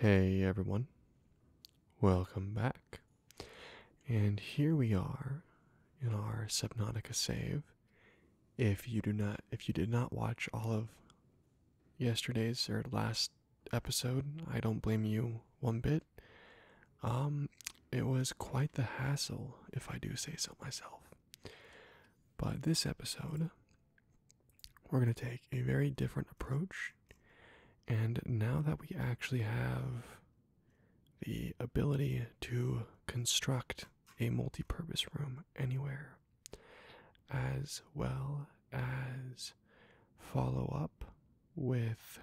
Hey everyone, welcome back. And here we are in our Subnautica save. If you do not, if you did not watch all of yesterday's or last episode, I don't blame you one bit. Um, it was quite the hassle, if I do say so myself. But this episode, we're going to take a very different approach. And now that we actually have the ability to construct a multi purpose room anywhere, as well as follow up with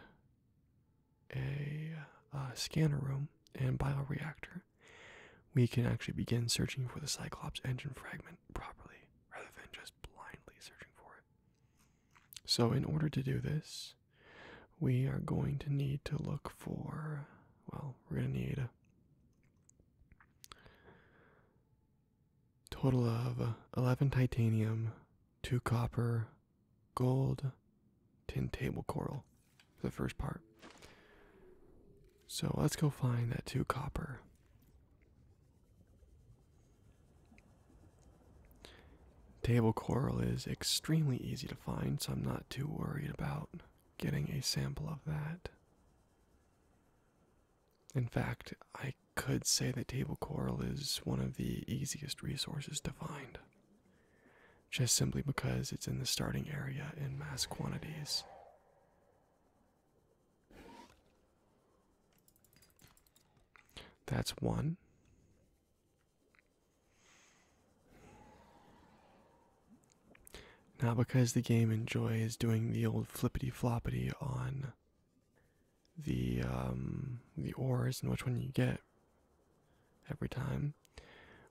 a, a uh, scanner room and bioreactor, we can actually begin searching for the Cyclops engine fragment properly rather than just blindly searching for it. So, in order to do this, we are going to need to look for, well, we're going to need a total of 11 titanium, 2 copper, gold, tin table coral the first part. So let's go find that two copper. Table coral is extremely easy to find, so I'm not too worried about getting a sample of that. In fact, I could say that table coral is one of the easiest resources to find just simply because it's in the starting area in mass quantities. That's one. Now, because the game enjoys doing the old flippity floppity on the um, the ores and which one you get every time,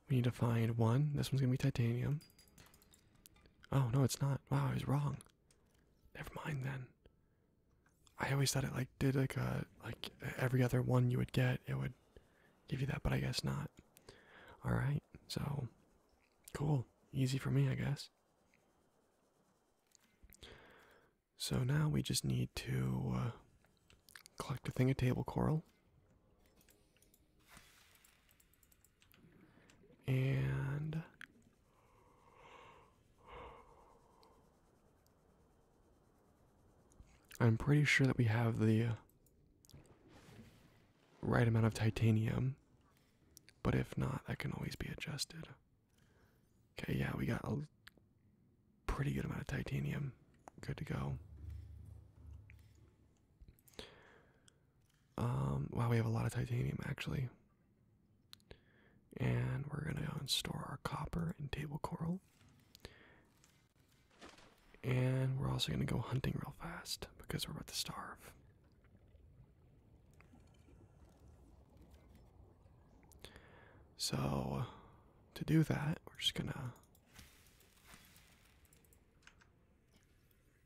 we need to find one. This one's gonna be titanium. Oh no, it's not. Wow, I was wrong. Never mind then. I always thought it like did like a like every other one you would get, it would give you that, but I guess not. Alright, so cool. Easy for me, I guess. So now we just need to uh, collect a thing of table coral. And I'm pretty sure that we have the right amount of titanium, but if not, that can always be adjusted. Okay, yeah, we got a pretty good amount of titanium. Good to go. Um, wow, we have a lot of titanium actually. And we're going to go and store our copper and table coral. And we're also going to go hunting real fast because we're about to starve. So, to do that, we're just going to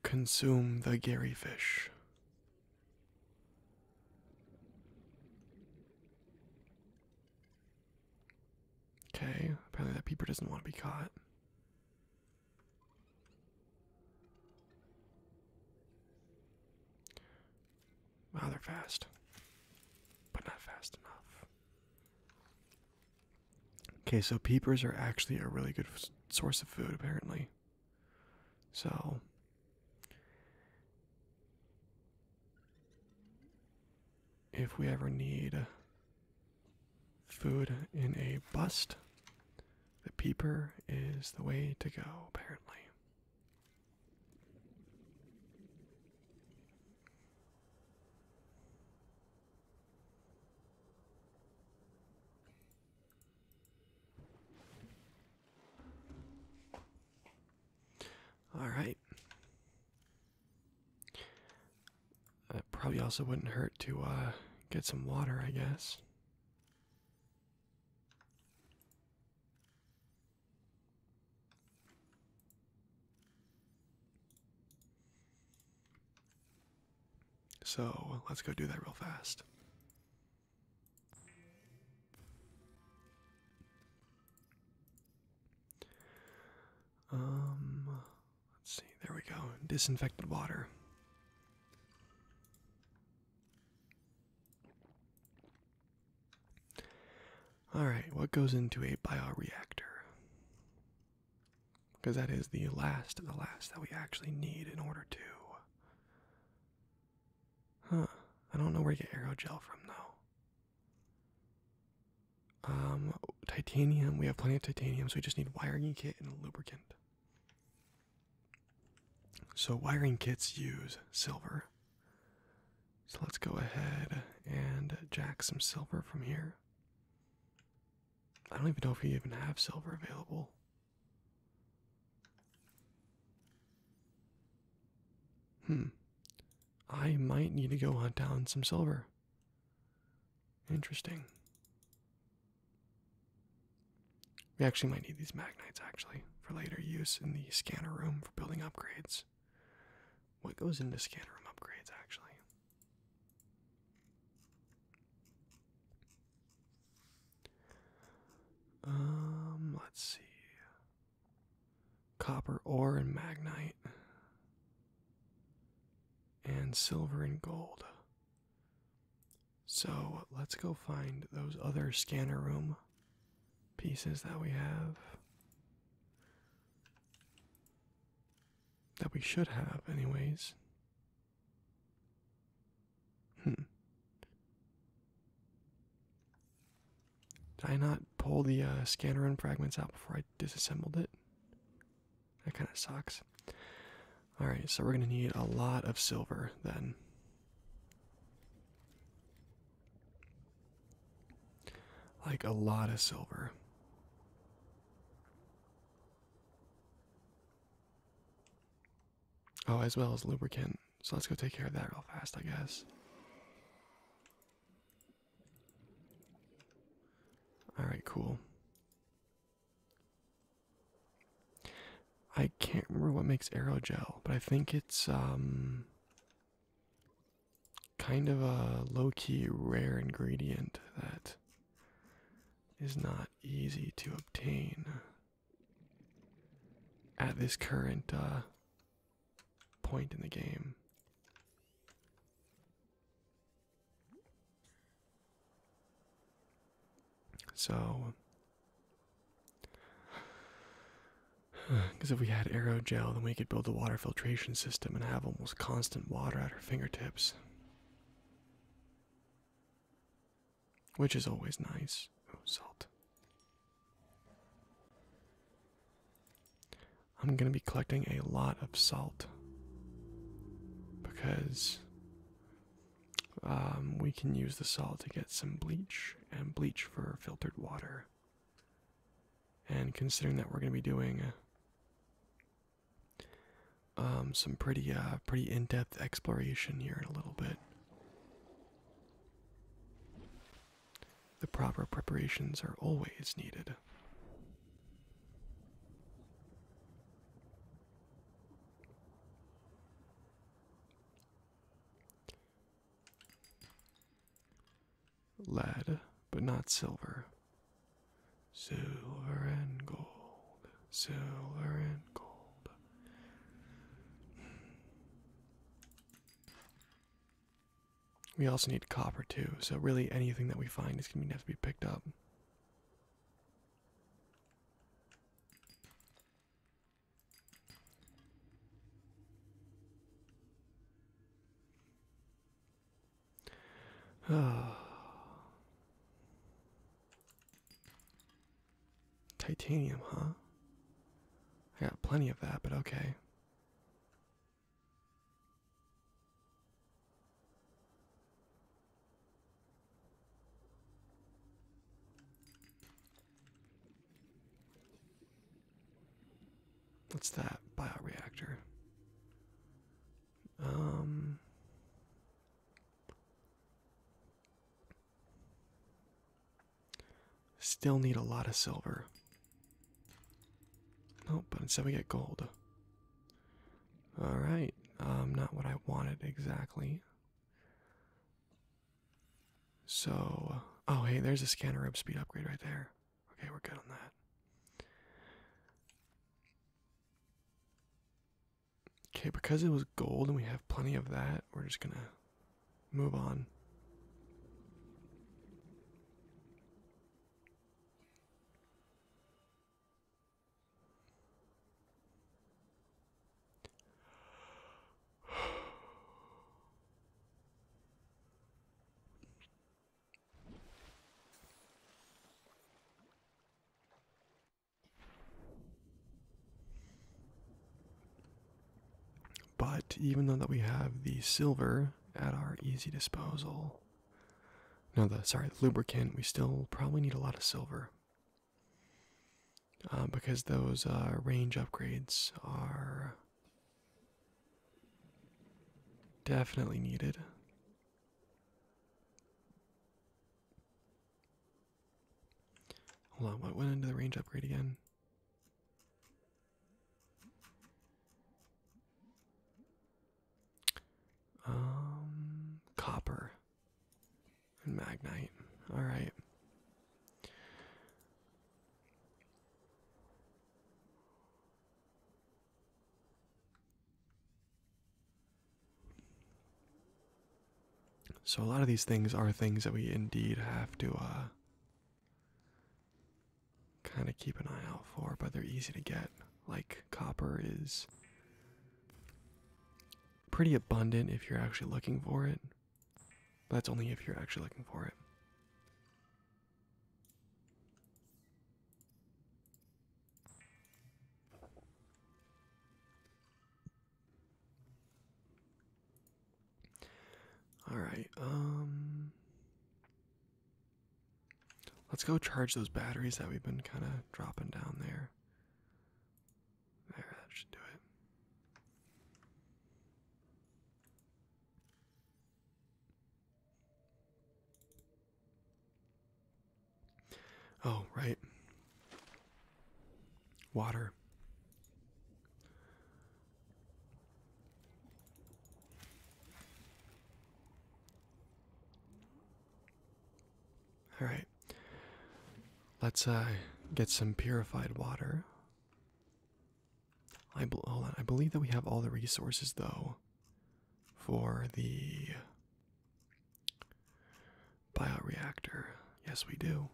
Consume the Gary fish. Okay, apparently that peeper doesn't want to be caught. Wow, they're fast, but not fast enough. Okay, so peepers are actually a really good source of food, apparently. So. If we ever need food in a bust, the peeper is the way to go, apparently. All right. It probably also wouldn't hurt to uh, get some water, I guess. So let's go do that real fast. Um, let's see, there we go. Disinfected water. Alright, what goes into a bioreactor? because that is the last of the last that we actually need in order to. Huh. I don't know where you get aerogel from though. Um, titanium. We have plenty of titanium, so we just need wiring kit and lubricant. So wiring kits use silver. So let's go ahead and jack some silver from here. I don't even know if we even have silver available. Hmm. I might need to go hunt down some silver. Interesting. We actually might need these magnites actually for later use in the scanner room for building upgrades. What goes into scanner room upgrades actually? Um, let's see. Copper ore and magnite. And silver and gold. So let's go find those other scanner room pieces that we have that we should have, anyways. Hmm. Did I not pull the uh, scanner and fragments out before I disassembled it? That kind of sucks. Alright, so we're going to need a lot of silver then. Like a lot of silver. Oh, as well as lubricant. So let's go take care of that real fast, I guess. Alright, cool. I can't remember what makes aerogel, but I think it's um kind of a low key rare ingredient that is not easy to obtain at this current uh, point in the game. So, because if we had aerogel, then we could build a water filtration system and have almost constant water her fingertips, which is always nice. salt. I'm going to be collecting a lot of salt because um, we can use the salt to get some bleach and bleach for filtered water. And considering that we're going to be doing um, some pretty, uh, pretty in-depth exploration here in a little bit. The proper preparations are always needed lead, but not silver. Silver and gold, silver and gold. We also need copper too, so really anything that we find is going to have to be picked up. Titanium, huh? I got plenty of that, but okay. What's that bioreactor? Um, still need a lot of silver. Nope, but instead we get gold. Alright, um, not what I wanted exactly. So, oh hey, there's a scanner rib speed upgrade right there. Okay, we're good on that. Okay, because it was gold and we have plenty of that, we're just gonna move on. But even though that we have the silver at our easy disposal, no, the sorry, lubricant, we still probably need a lot of silver uh, because those uh, range upgrades are Definitely needed. Hold on, what went into the range upgrade again? Um, copper and magnite. All right. So, a lot of these things are things that we indeed have to uh, kind of keep an eye out for, but they're easy to get. Like, copper is pretty abundant if you're actually looking for it. that's only if you're actually looking for it. All right. Um Let's go charge those batteries that we've been kind of dropping down there. There, that should do it. Oh, right. Water. All right. Let's uh, get some purified water. I believe that we have all the resources though for the bioreactor. Yes, we do.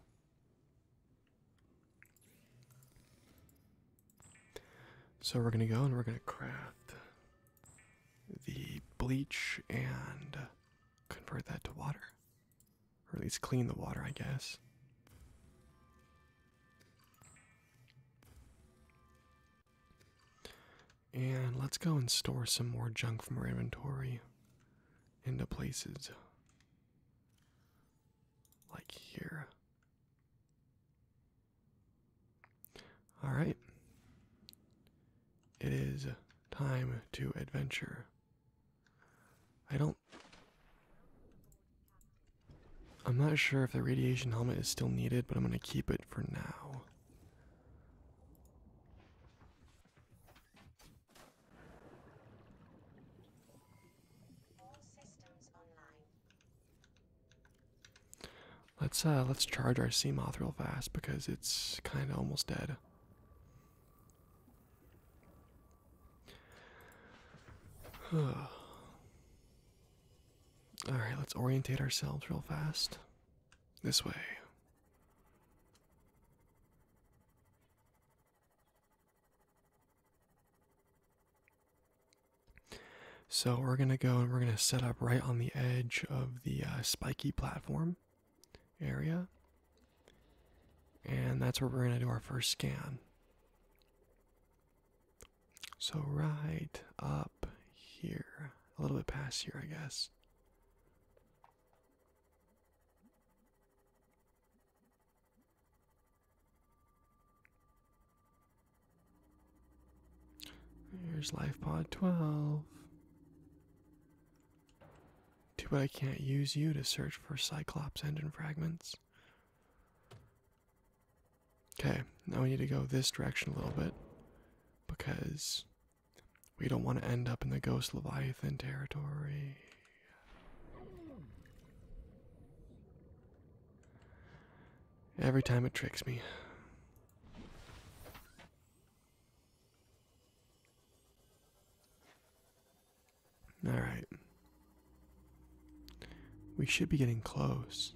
So we're going to go and we're going to craft the bleach and convert that to water. Or at least clean the water, I guess. And let's go and store some more junk from our inventory into places like here. All right. It is time to adventure. I don't I'm not sure if the radiation helmet is still needed, but I'm going to keep it for now. Let's uh let's charge our sea real fast because it's kind of almost dead. All right, let's orientate ourselves real fast. This way. So we're going to go and we're going to set up right on the edge of the uh, spiky platform area. And that's where we're going to do our first scan. So, right up here, a little bit past here, I guess. Here's LifePod 12. Too bad I can't use you to search for Cyclops engine fragments. Okay, now we need to go this direction a little bit because we don't want to end up in the ghost leviathan territory. Every time it tricks me. All right. We should be getting close.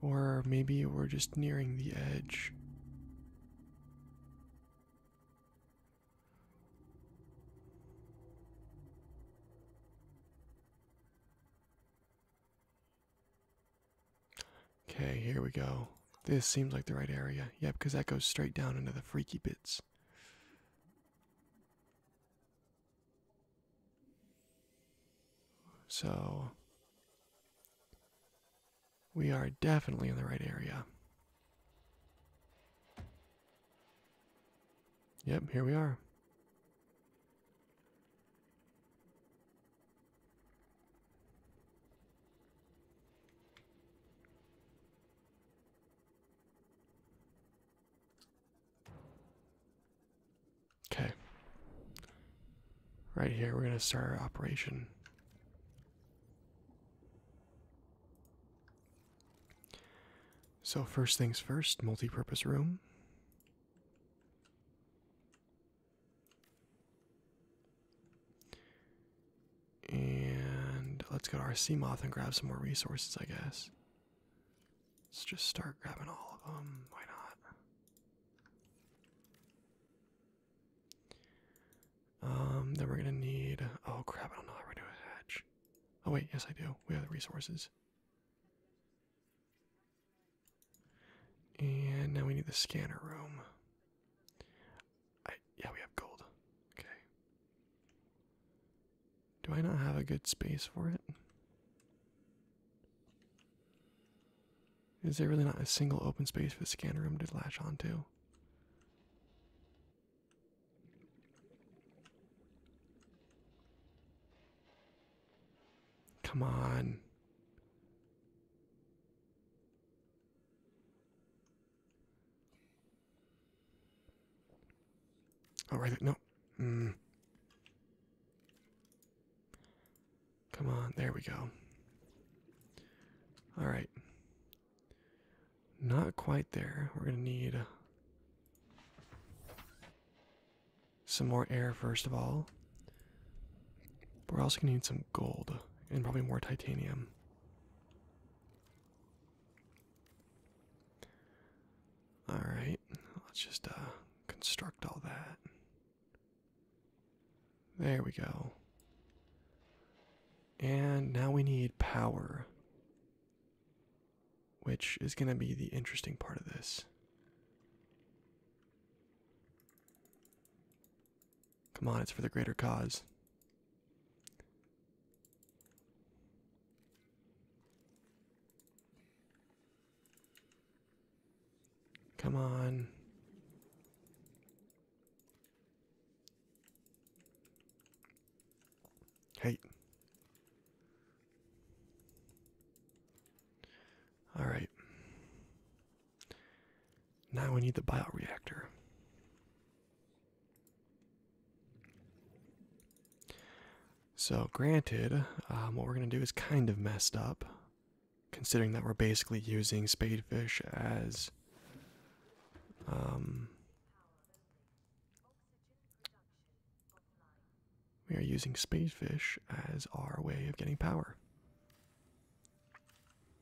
Or maybe we're just nearing the edge. Okay, here we go. This seems like the right area. Yep, because that goes straight down into the freaky bits. So, we are definitely in the right area. Yep, here we are. Okay. Right here, we're going to start our operation. So, first things first, multi purpose room. And let's go to our sea moth and grab some more resources, I guess. Let's just start grabbing all of them. Why not? Um, then we're gonna need. Oh crap! I don't know how we're gonna hatch. Oh wait, yes I do. We have the resources. And now we need the scanner room yeah, we have gold. Okay. Do I not have a good space for it? Is there really not a single open space for the scanner room to latch onto? Come on. All right, No. Hmm. Come on. There we go. All right. Not quite there. We're going to need some more air, first of all. We're also gonna need some gold and probably more titanium. Alright, let's just uh, construct all that. There we go. And now we need power, which is going to be the interesting part of this. Come on, it's for the greater cause. Come on. Hey. All right. Now we need the bioreactor. So, granted, um, what we're going to do is kind of messed up, considering that we're basically using spadefish as um, we are using spadefish as our way of getting power.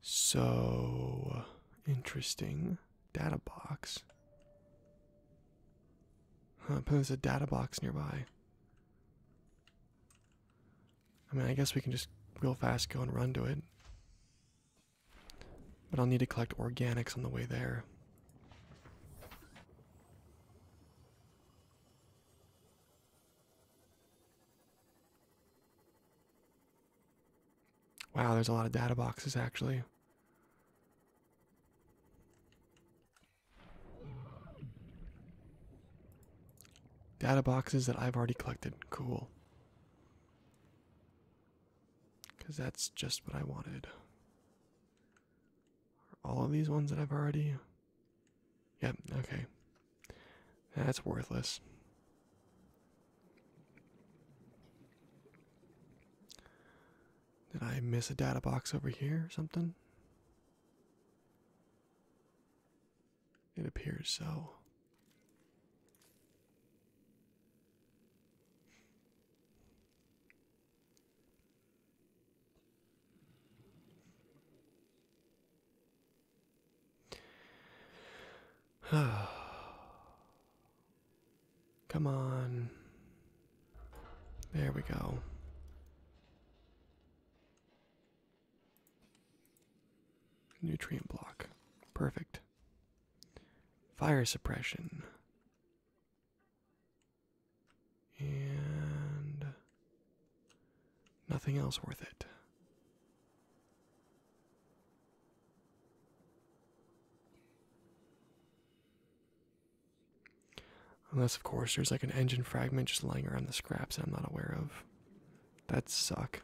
So interesting. Data box. i but there's a data box nearby. I mean, I guess we can just real fast go and run to it. But I'll need to collect organics on the way there. Wow, there's a lot of data boxes actually. Data boxes that I've already collected. Cool. Because that's just what I wanted. Are all of these ones that I've already Yep, okay. That's worthless. Did I miss a data box over here or something? It appears so. Come on. There we go. Nutrient block. Perfect. Fire suppression. And Nothing else worth it. Unless, of course, there's like an engine fragment just lying around the scraps that I'm not aware of. That'd suck.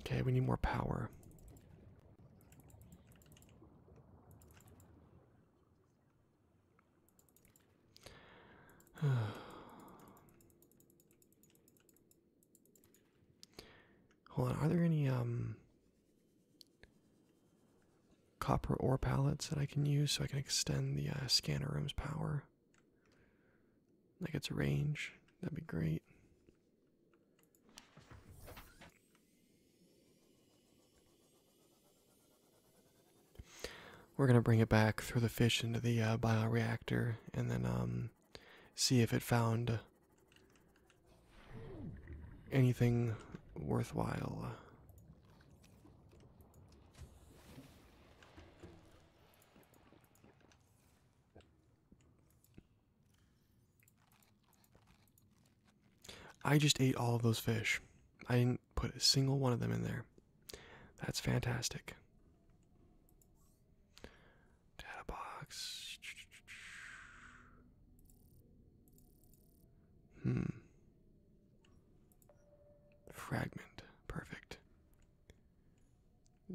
Okay, we need more power. Hold on, are there any um, copper ore pallets that I can use so I can extend the uh, scanner room's power? Like its range, that'd be great. We're going to bring it back through the fish into the uh, bioreactor and then um, see if it found anything worthwhile. I just ate all of those fish. I didn't put a single one of them in there. That's fantastic. Data box. Hmm. Fragment. Perfect.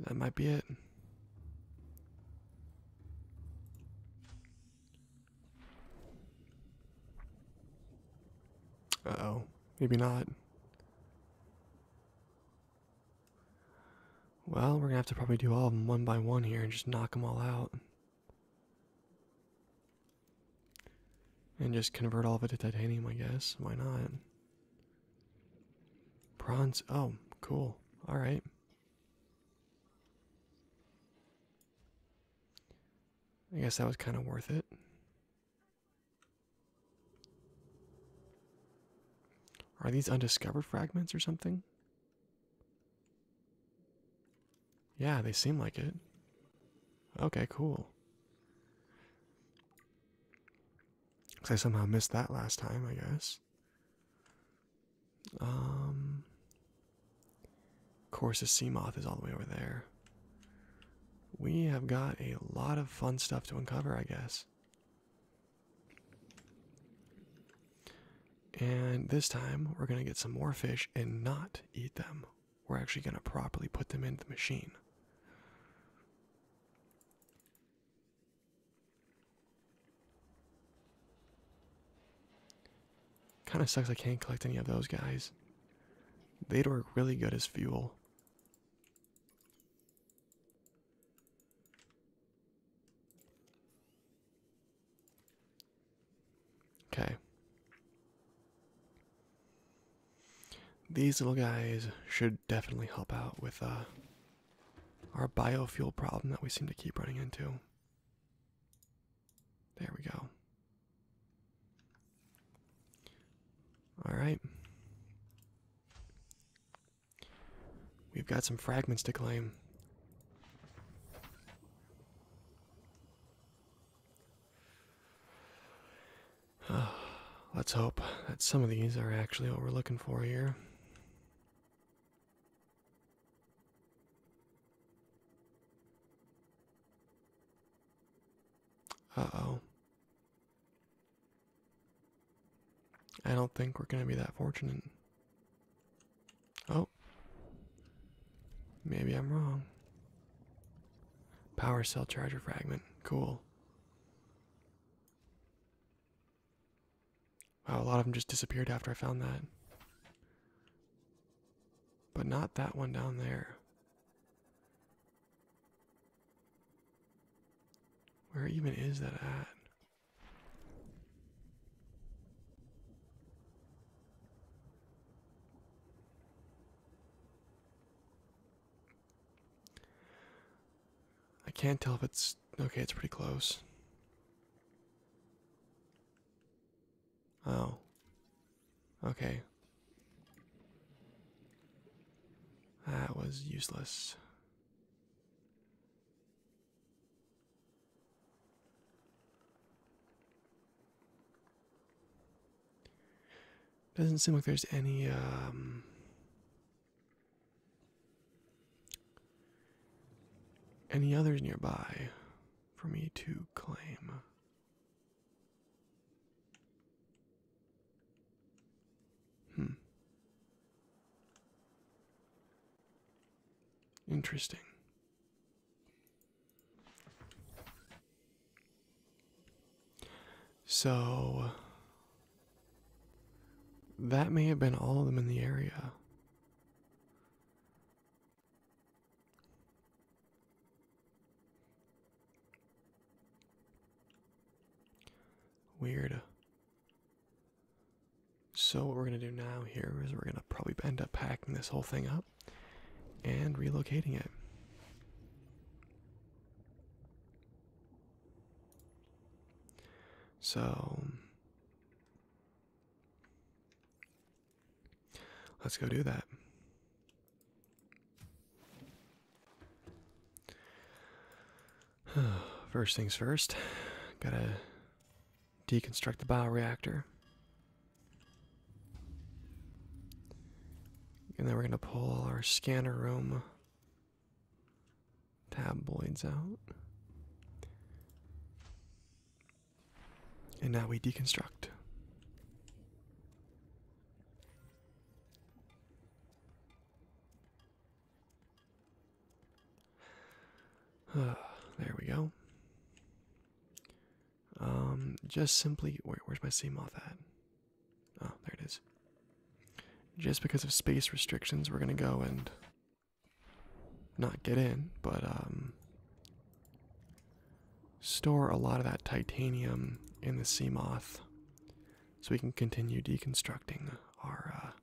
That might be it. Uh oh, maybe not. Well, we're gonna have to probably do all of them one by one here and just knock them all out. And just convert all of it to titanium, I guess. Why not? Bronze. Oh, cool. Alright. I guess that was kind of worth it. Are these undiscovered fragments or something? Yeah, they seem like it. Okay, cool. Because I somehow missed that last time, I guess. Um, of course, the Seamoth is all the way over there. We have got a lot of fun stuff to uncover, I guess. And this time, we're going to get some more fish and not eat them. We're actually going to properly put them into the machine. Kind of sucks I can't collect any of those guys. They'd work really good as fuel. Okay. These little guys should definitely help out with uh, our biofuel problem that we seem to keep running into. There we go. All right. We've got some fragments to claim. let's hope that some of these are actually what we're looking for here. Uh oh. I don't think we're going to be that fortunate. Oh. Maybe I'm wrong. Power cell charger fragment. Cool. Wow, a lot of them just disappeared after I found that. But not that one down there. Where even is that at? I can't tell if it's okay, it's pretty close. Oh. Okay. That was useless. Doesn't seem like there's any um any others nearby for me to claim. Hmm. Interesting. So, that may have been all of them in the area. Weird. So, what we're going to do now here is we're going to probably end up packing this whole thing up and relocating it. So, Let's go do that. First things first, gotta deconstruct the bio reactor, And then we're gonna pull all our scanner room tabloids out. And now we deconstruct. Uh, there we go. Um, just simply, where's my Seamoth at? Oh, there it is. Just because of space restrictions, we're gonna go and not get in, but um, store a lot of that titanium in the moth, so we can continue deconstructing our.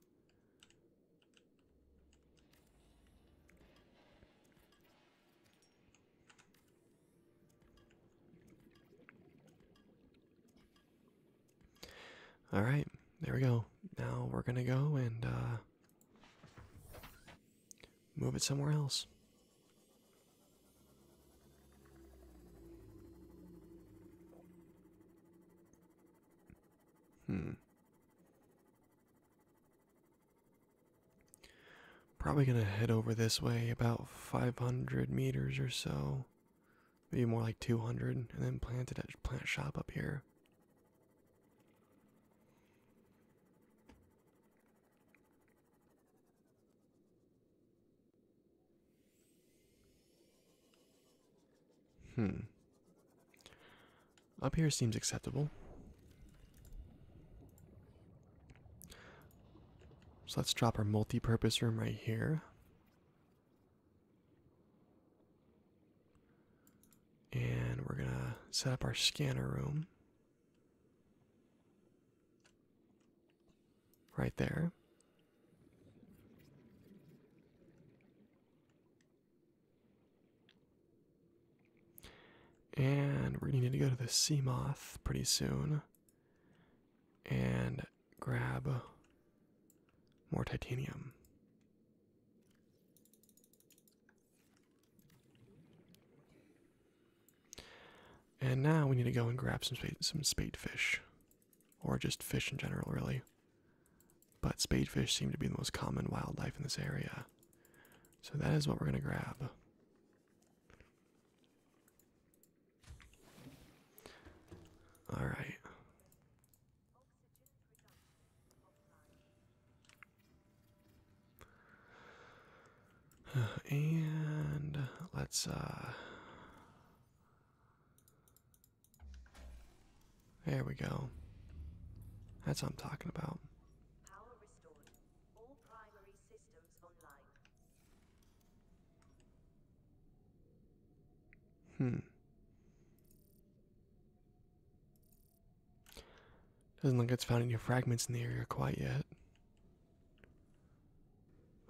Uh, all right, there we go. Now we're gonna go and uh, move it somewhere else. Hmm. Probably gonna head over this way about 500 meters or so, maybe more like 200, and then plant it at plant shop up here. Hmm. Up here seems acceptable. So let's drop our multi-purpose room right here. And we're going to set up our scanner room right there. And we're going to need to go to the Seamoth pretty soon and grab more titanium. And now we need to go and grab some spade, some spade fish, or just fish in general, really. But spade fish seem to be the most common wildlife in this area, so that is what we're gonna grab. All right. And let's uh There we go. That's what I'm talking about. Hmm. Doesn't look like it's found any fragments in the area quite yet.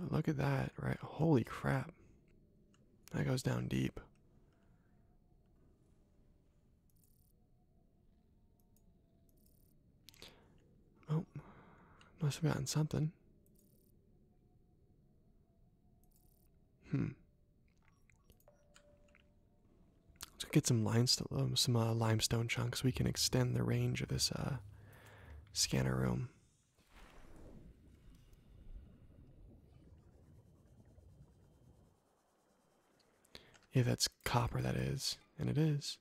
But look at that, right? Holy crap. That goes down deep. Oh, must have gotten something. Hmm. Let's get some limestone, um, some uh, limestone chunks. We can extend the range of this uh, scanner room. Yeah, that's copper. That is, and it is.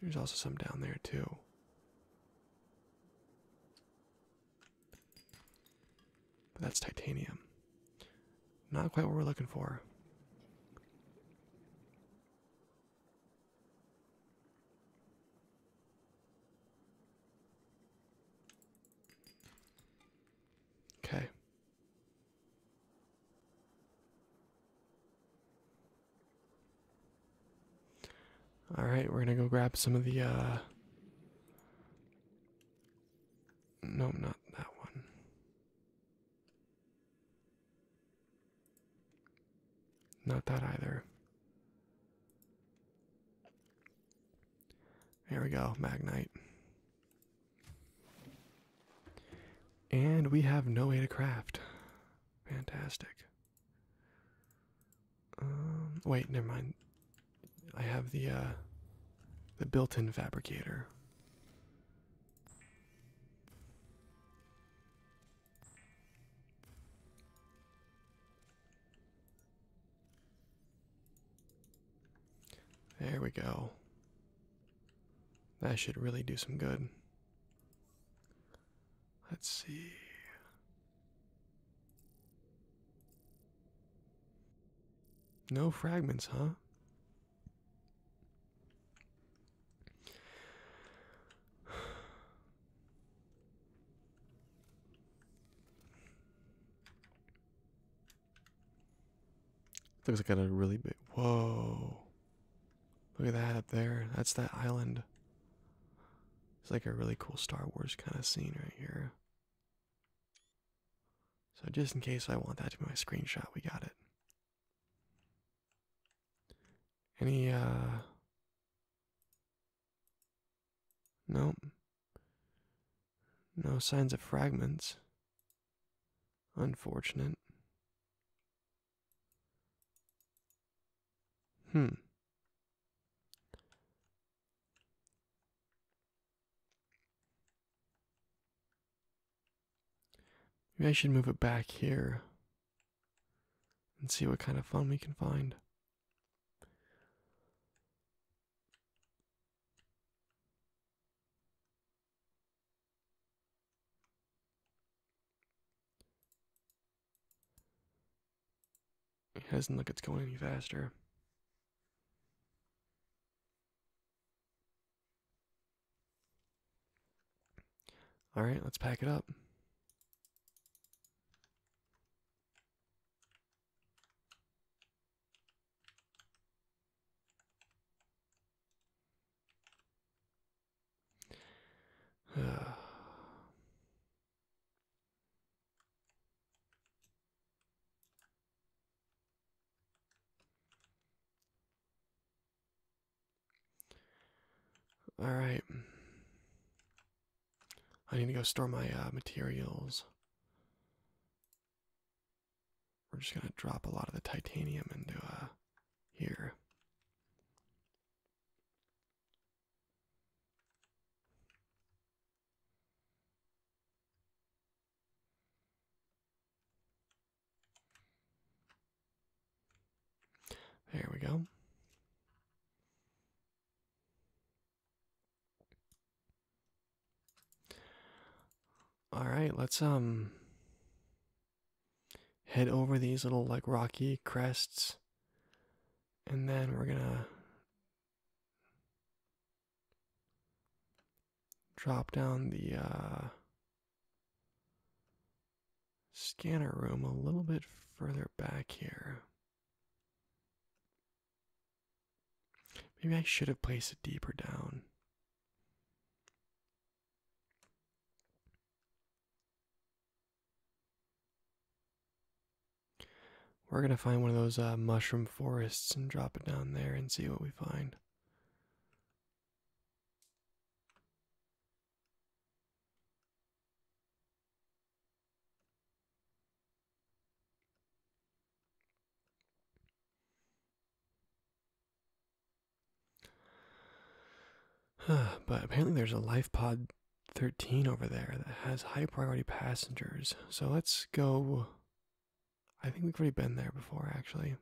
There's also some down there too. But that's titanium. Not quite what we're looking for. Okay. All right, we're going to go grab some of the uh, no, not that one. Not that either. Here we go, Magnite. And we have no way to craft. Fantastic. Um, wait, never mind. I have the uh, the built-in fabricator. There we go. That should really do some good. Let's see. No fragments, huh? Looks like got a really big. Whoa. Look at that up there. That's that island. It's like a really cool Star Wars kind of scene right here. So just in case I want that to be my screenshot, we got it. Any uh Nope. No signs of fragments. Unfortunate. Hmm. Maybe I should move it back here and see what kind of fun we can find. It doesn't look it's going any faster. All right, let's pack it up. Alright. I need to go store my uh, materials. We're just going to drop a lot of the titanium into uh, here. There we go. All right, let's um head over these little like rocky crests and then we're going to drop down the uh, scanner room a little bit further back here. Maybe I should have placed it deeper down. We're going to find one of those uh, mushroom forests and drop it down there and see what we find. but apparently there's a life pod 13 over there that has high priority passengers. So let's go I think we've already been there before, actually.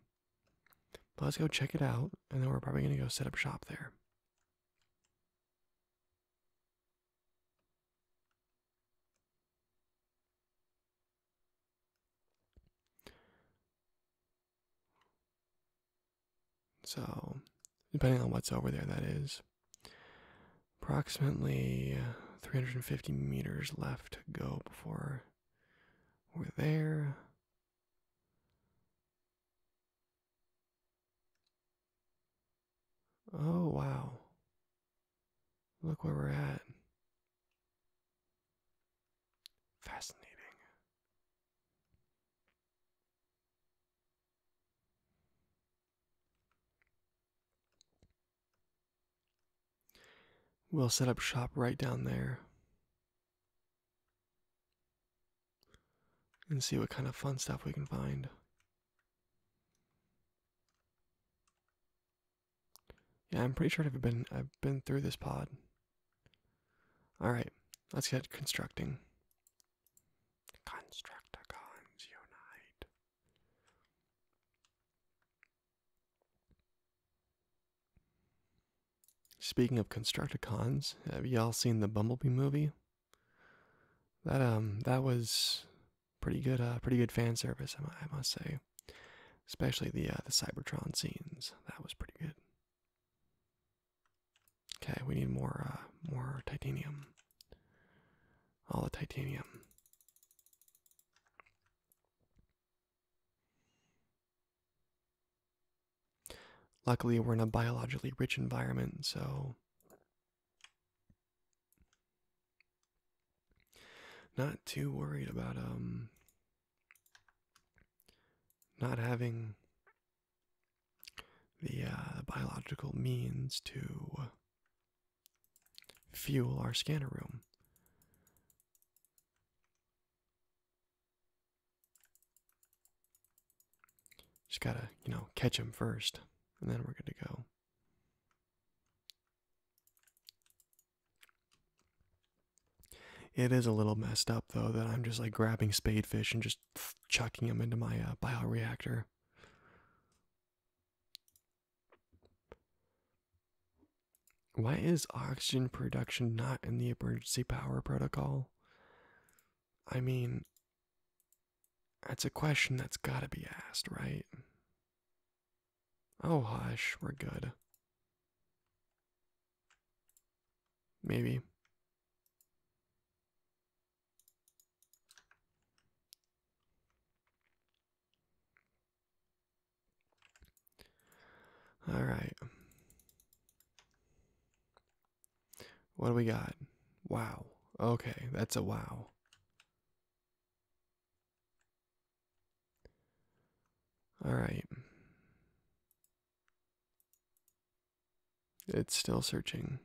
But let's go check it out, and then we're probably going to go set up shop there. So, depending on what's over there, that is approximately 350 meters left to go before we're there. Oh, wow. Look where we're at. Fascinating. We'll set up shop right down there and see what kind of fun stuff we can find. Yeah, I'm pretty sure I've been I've been through this pod. All right, let's get constructing. Constructicons unite. Speaking of Constructicons, have y'all seen the Bumblebee movie? That um, that was pretty good. Uh, pretty good fan service, I must say. Especially the uh, the Cybertron scenes. That was pretty good. Okay, we need more uh, more titanium. All the titanium. Luckily, we're in a biologically rich environment, so not too worried about um not having the uh, biological means to fuel our scanner room. Just gotta, you know, catch him first, and then we're good to go. It is a little messed up though that I'm just like grabbing spadefish and just chucking them into my uh, bioreactor. Why is oxygen production not in the emergency power protocol? I mean, that's a question that's gotta be asked, right? Oh, hush, we're good. Maybe. All right. What do we got? Wow. Okay, that's a wow. All right. It's still searching.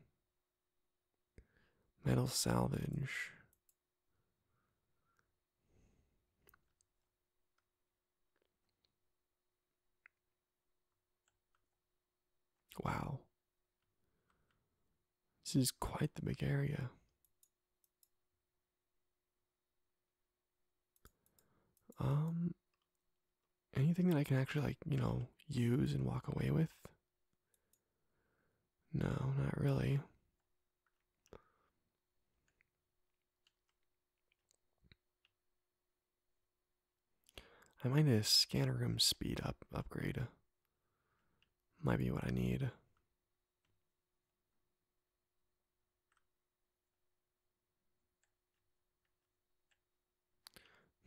Metal salvage. Wow. This is quite the big area. Um anything that I can actually like, you know, use and walk away with? No, not really. I might need a scanner room speed up upgrade. Might be what I need.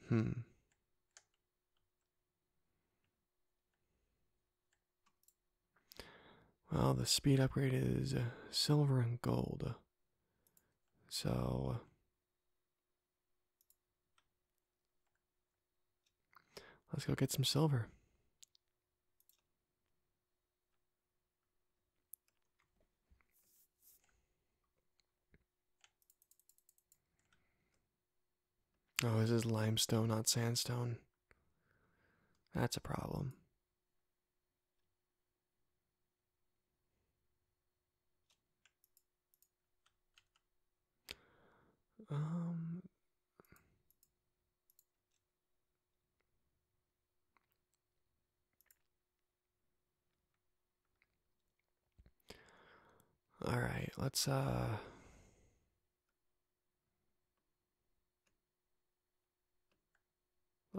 Hmm. Well, the speed upgrade is uh, silver and gold. So let's go get some silver. Oh, this is limestone, not sandstone. That's a problem. Um, all right, let's uh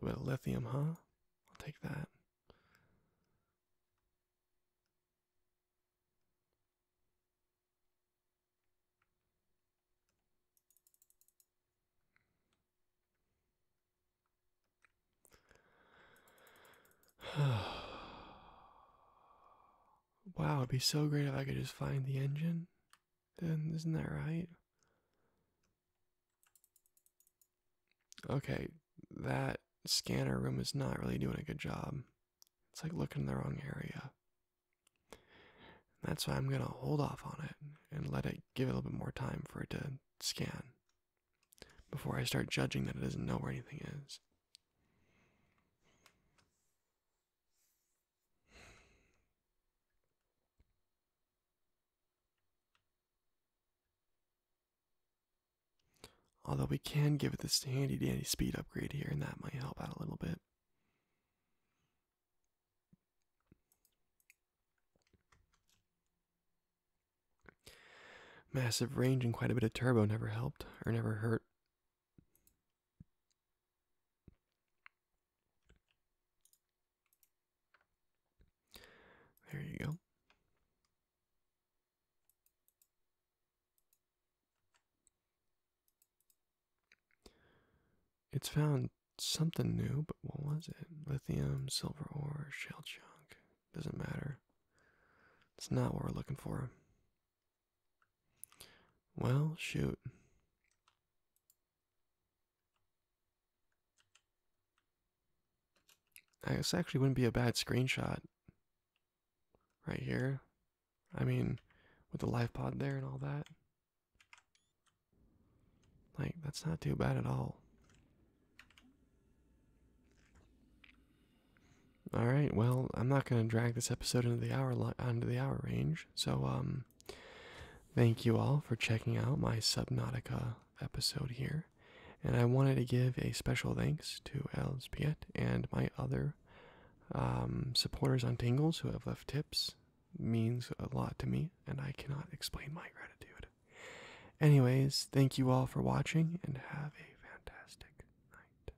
a little bit of lithium, huh? I'll take that. Wow, it'd be so great if I could just find the engine. Then isn't that right? Okay, that scanner room is not really doing a good job. It's like looking in the wrong area. That's why I'm gonna hold off on it and let it give a little bit more time for it to scan before I start judging that it doesn't know where anything is. Although we can give it this handy dandy speed upgrade here, and that might help out a little bit. Massive range and quite a bit of turbo never helped or never hurt. There you go. It's found something new, but what was it? Lithium, silver ore, shell chunk. Doesn't matter. It's not what we're looking for. Well, shoot. I guess actually wouldn't be a bad screenshot. Right here. I mean, with the live pod there and all that. Like, that's not too bad at all. All right. Well, I'm not going to drag this episode into the hour onto the hour range. So, um, thank you all for checking out my Subnautica episode here, and I wanted to give a special thanks to Elspiet and my other um, supporters on Tingles who have left tips. Means a lot to me, and I cannot explain my gratitude. Anyways, thank you all for watching, and have a fantastic night.